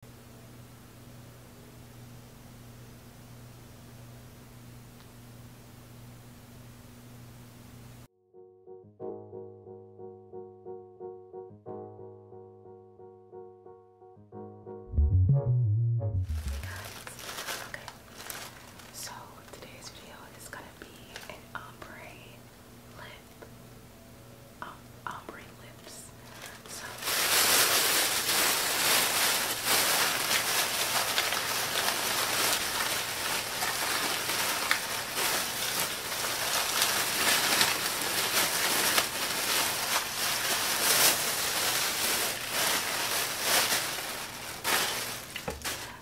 Okay, so today's video is gonna be an ombre lip um, lips.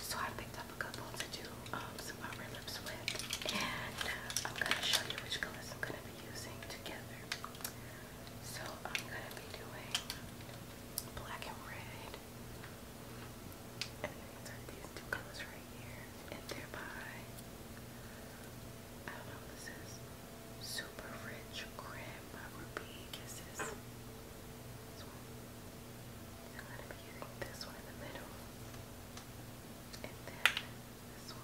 So I picked up a couple to do um, lips with, and uh, I'm gonna show you which colors I'm gonna be using together. So I'm going to be doing black and red. And these two colors right here. And they're by, I don't know this is, Super Rich Creme Ruby Kisses. This I'm going to be using this one in the middle. And then this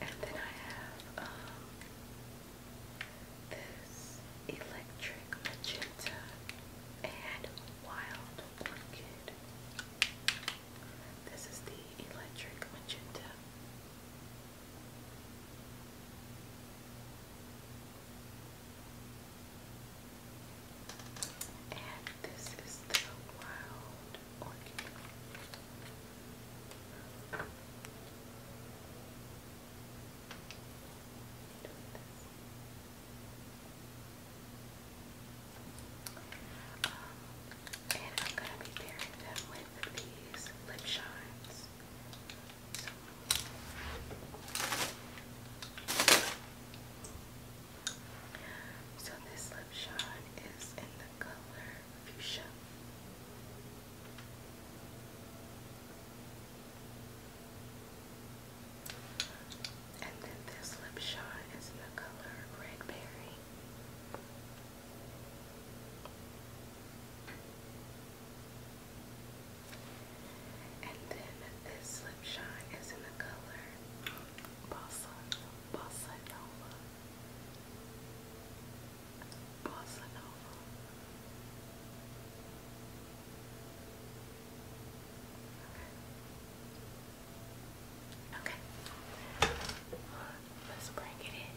And then I have um, this electric magenta and wild orchid. This is the electric magenta. And this is the wild orchid. Um, and I'm going to be pairing them with these lip shines. So this lip shot is in the color fuchsia. And then this lip shot is in the color red berry. And then this slip shine is in the color Bossa Bossa Nova. Bossa Nova. Okay. okay. Let's bring it in.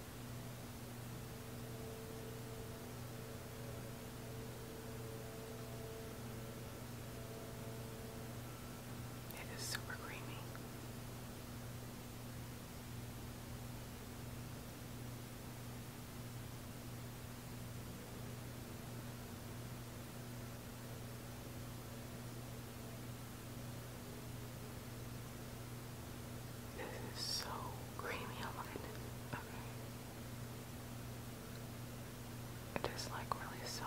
It is super creamy. This is so creamy. Oh my goodness. Okay. It is like really soft.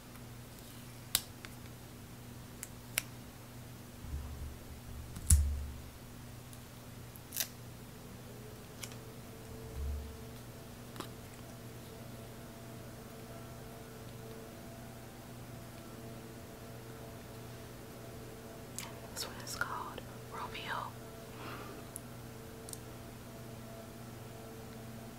This one is called Romeo.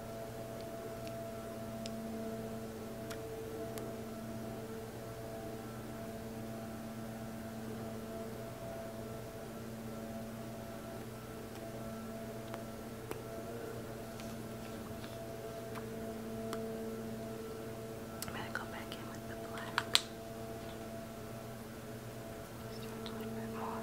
I'm going to go back in with the black. Just a little bit more.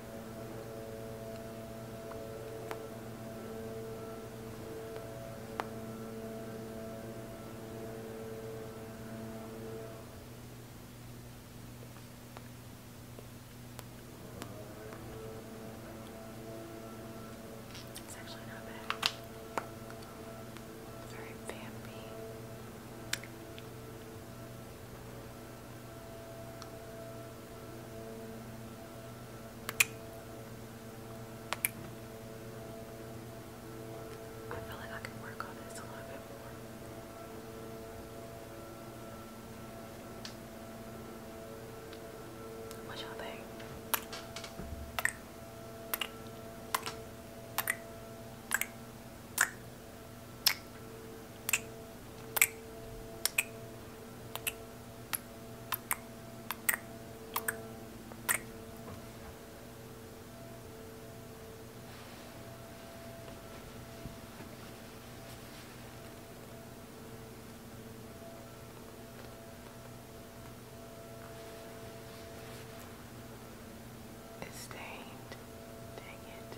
It's actually not bad. Very vampy. I feel like I can work on this a little bit more. What y'all think? It's stained. Dang it.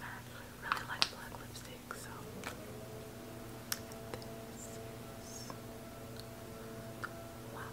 I actually really like black lipstick, so Wild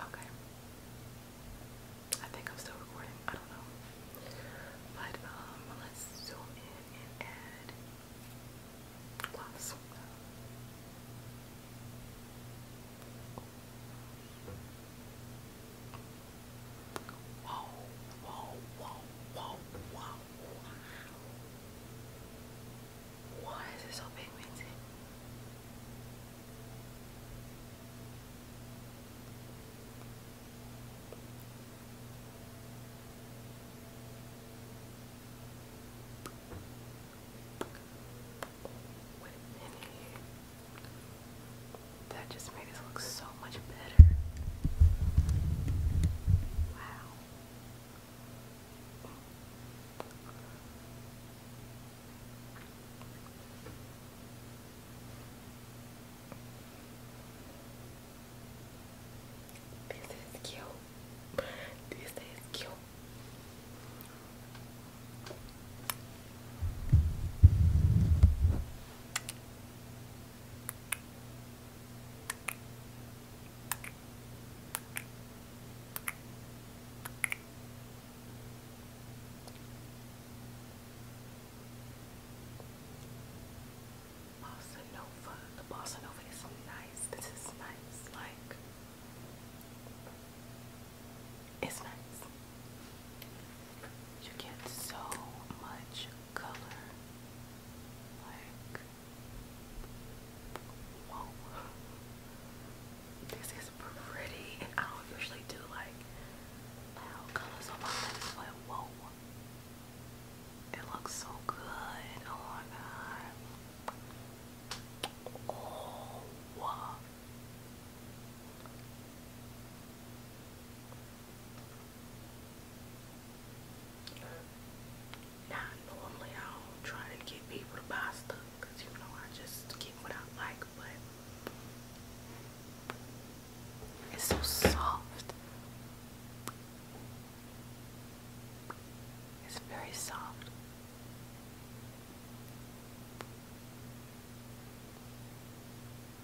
Okay. I think I'm still recording. I don't know. But um let's zoom in and add Wow, wow, wow, wow, wow, Why is it so pigmented? Wait a minute. That just made us look so much better. Wow. This is cute. This is cute. Bossa Nova. The Bossa is so nice. This is nice. Like, it's nice. You get so much color. Like, whoa. This is pretty. And I don't usually do like loud colors on my face, but whoa. It looks so good. Oh my god. Oh, wow. Now, normally I do try to get people to buy stuff you know I just get what I like, but it's so soft. It's very soft.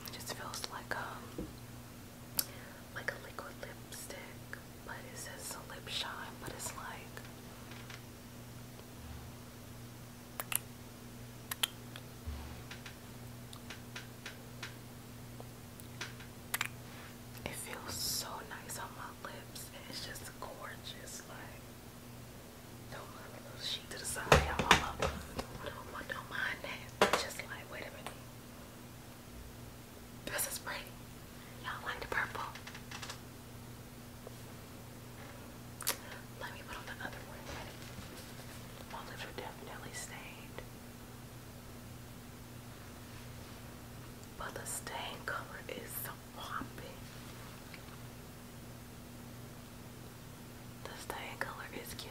It just feels like a um, like a liquid lipstick, but it says a lip shine, but it's like it feels so nice on my lips it's just gorgeous like don't mind those to the side. you This is pretty. Y'all like the purple. Let me put on the other one. My lips are definitely stained. But the stain color is so popping. The stain color is cute.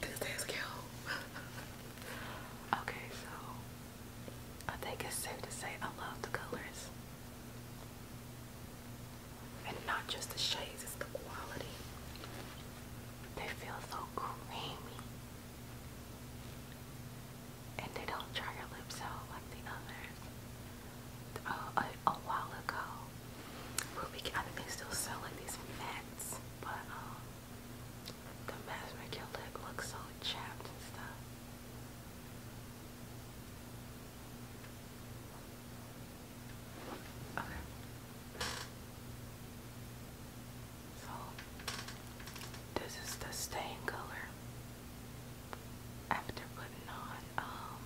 This is cute. okay, so I think it's safe to say I love the colors. And not just the shades, it's the quality. They feel so creamy. And they don't dry your lips out like the others uh, a, while ago. I think they still sell these mats, but um, the mats make your leg look so chapped and stuff. Okay. So, this is the stain color. After putting on um,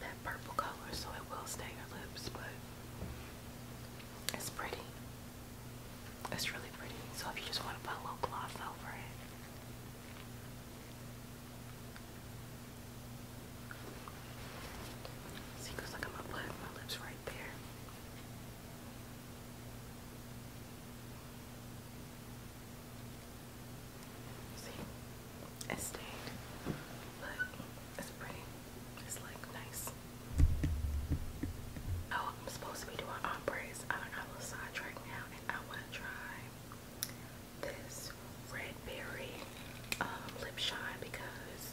that purple color so it will stay your lips but it's pretty it's really pretty so if you just want to put a little gloss over it see cause I'm gonna put my lips right there See, it stayed, but it's pretty. It's like nice. Oh, I'm supposed to be doing ombres. I got a little sidetracked now, and I want to try this red berry um, lip shine because.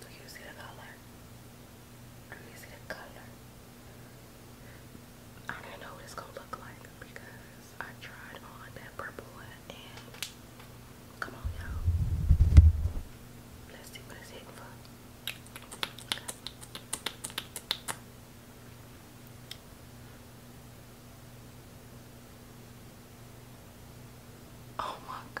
Do you see the color? i don't know what it's gonna look like because I tried on that purple one come on y'all. Let's see what it's hitting Oh my God.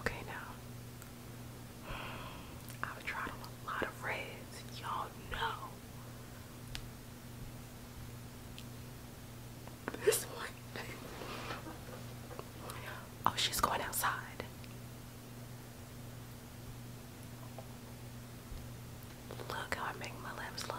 Okay, now I've tried on a lot of reds, y'all know this one. Oh, she's going outside. Look how I make my lips look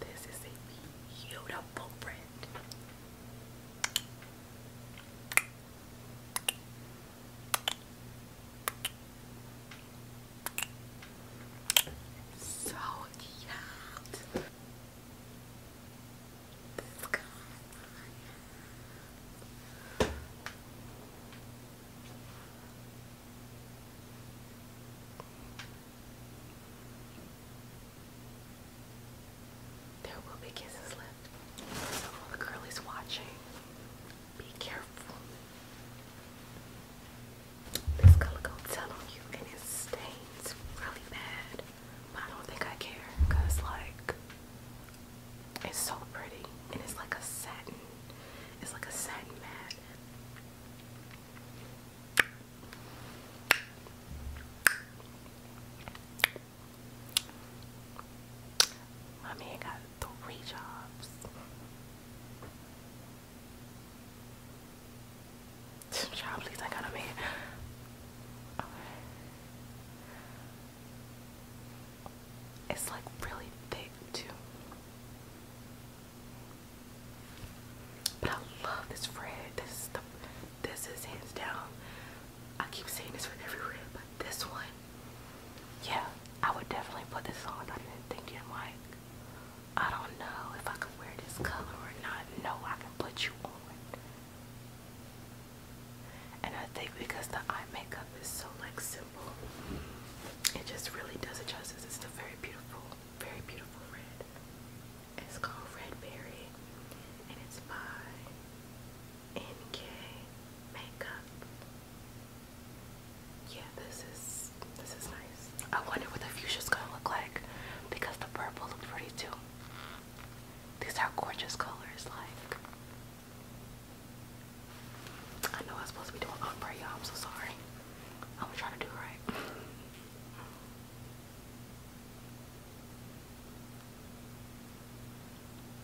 this is a beautiful print. So cute. This there will be kisses left. So all the watching, be careful. This color gonna tell on you and it stains really bad. But I don't think I care because like it's so pretty and it's like a satin. It's like a satin mat. My man got three jobs. Job, please, I got a man. It's like really thick too. But I love this red. This is the this is hands down. I keep saying this for every red, but this one, yeah, I would definitely put this on. I've been thinking like, I don't know if I could wear this color or not. No, I can put you on. And I think because the eye makeup is so like simple beautiful. It just really does it justice. It's still very beautiful, very beautiful red. It's called Red Berry, and it's by NK Makeup. Yeah, this is this is nice. I wonder what the fuchsia's gonna look like because the purple looked pretty too. These are gorgeous colors, like I know I'm supposed to be doing opera, you I'm so sorry. I'm gonna try to do it right.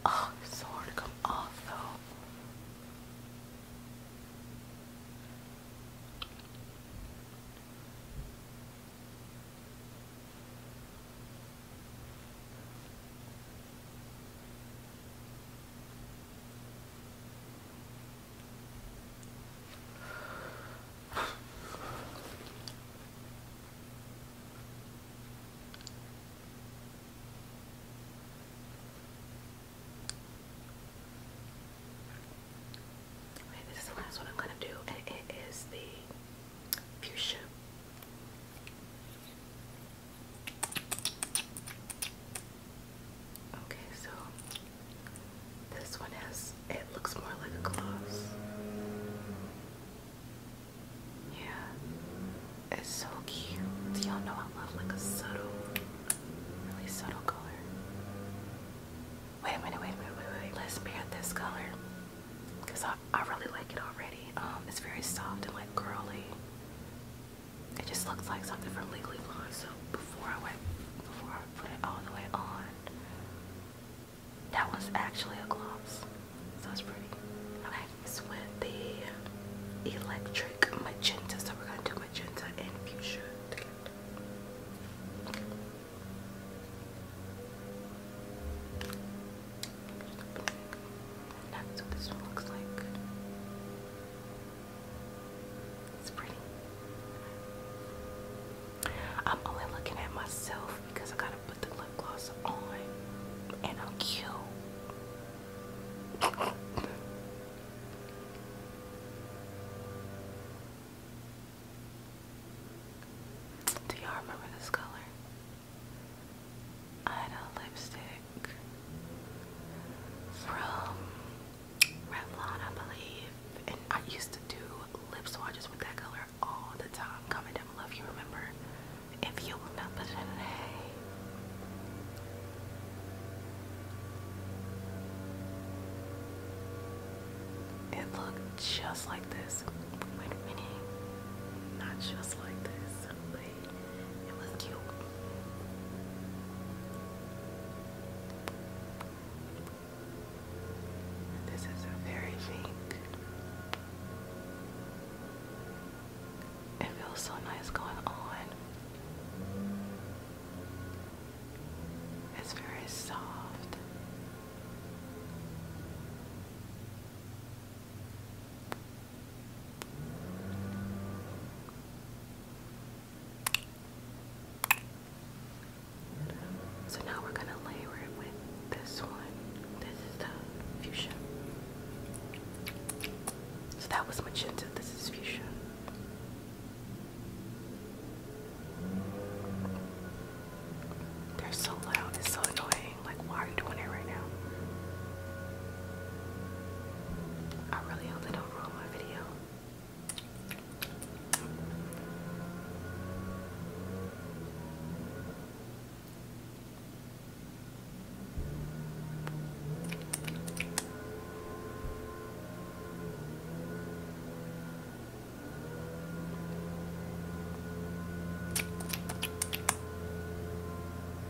Oh, so hard to come off though. Okay, this is the last one I'm going to do, and it is the fuchsia. Okay, so this one has, it looks more like a gloss. Yeah, it's so cute. Y'all know I love like a subtle, really subtle color. Wait a minute, wait wait, wait, wait. Let's pair this color because I, I really like it already. Um, it's very soft and like curly. It just looks like something from Legally Blonde. So before I went, before I put it all the way on, that was actually a gloss. So was pretty. Okay, it's with the electric magenta. So we're gonna do magenta and fuchsia that's what this one looks like. It's pretty. I'm only looking at myself because I gotta put the lip gloss on and I'm cute. Do y'all remember this color? I had a lipstick from Revlon, I believe. And I used to do lip swatches with that color all the time. Comment down below if you remember. If you remember It looked just like this. Wait a minute. Not just like this, this is very pink. It feels so nice going on. It's very soft. So now we're going to layer it with this one. This is the fuchsia. So that was magenta. This is fusion. They're so loud. It's so annoying. Like, why are you doing it right now? I really hope they don't ruin my video.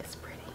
It's pretty.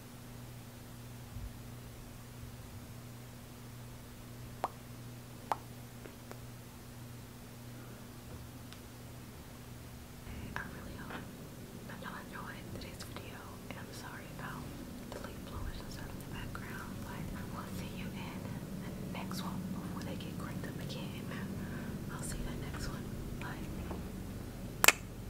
I really hope that you enjoyed today's video, I'm sorry about the leaf blowers and in the background, but I will see you in the next one before they get cranked again. I'll see the next one. Bye.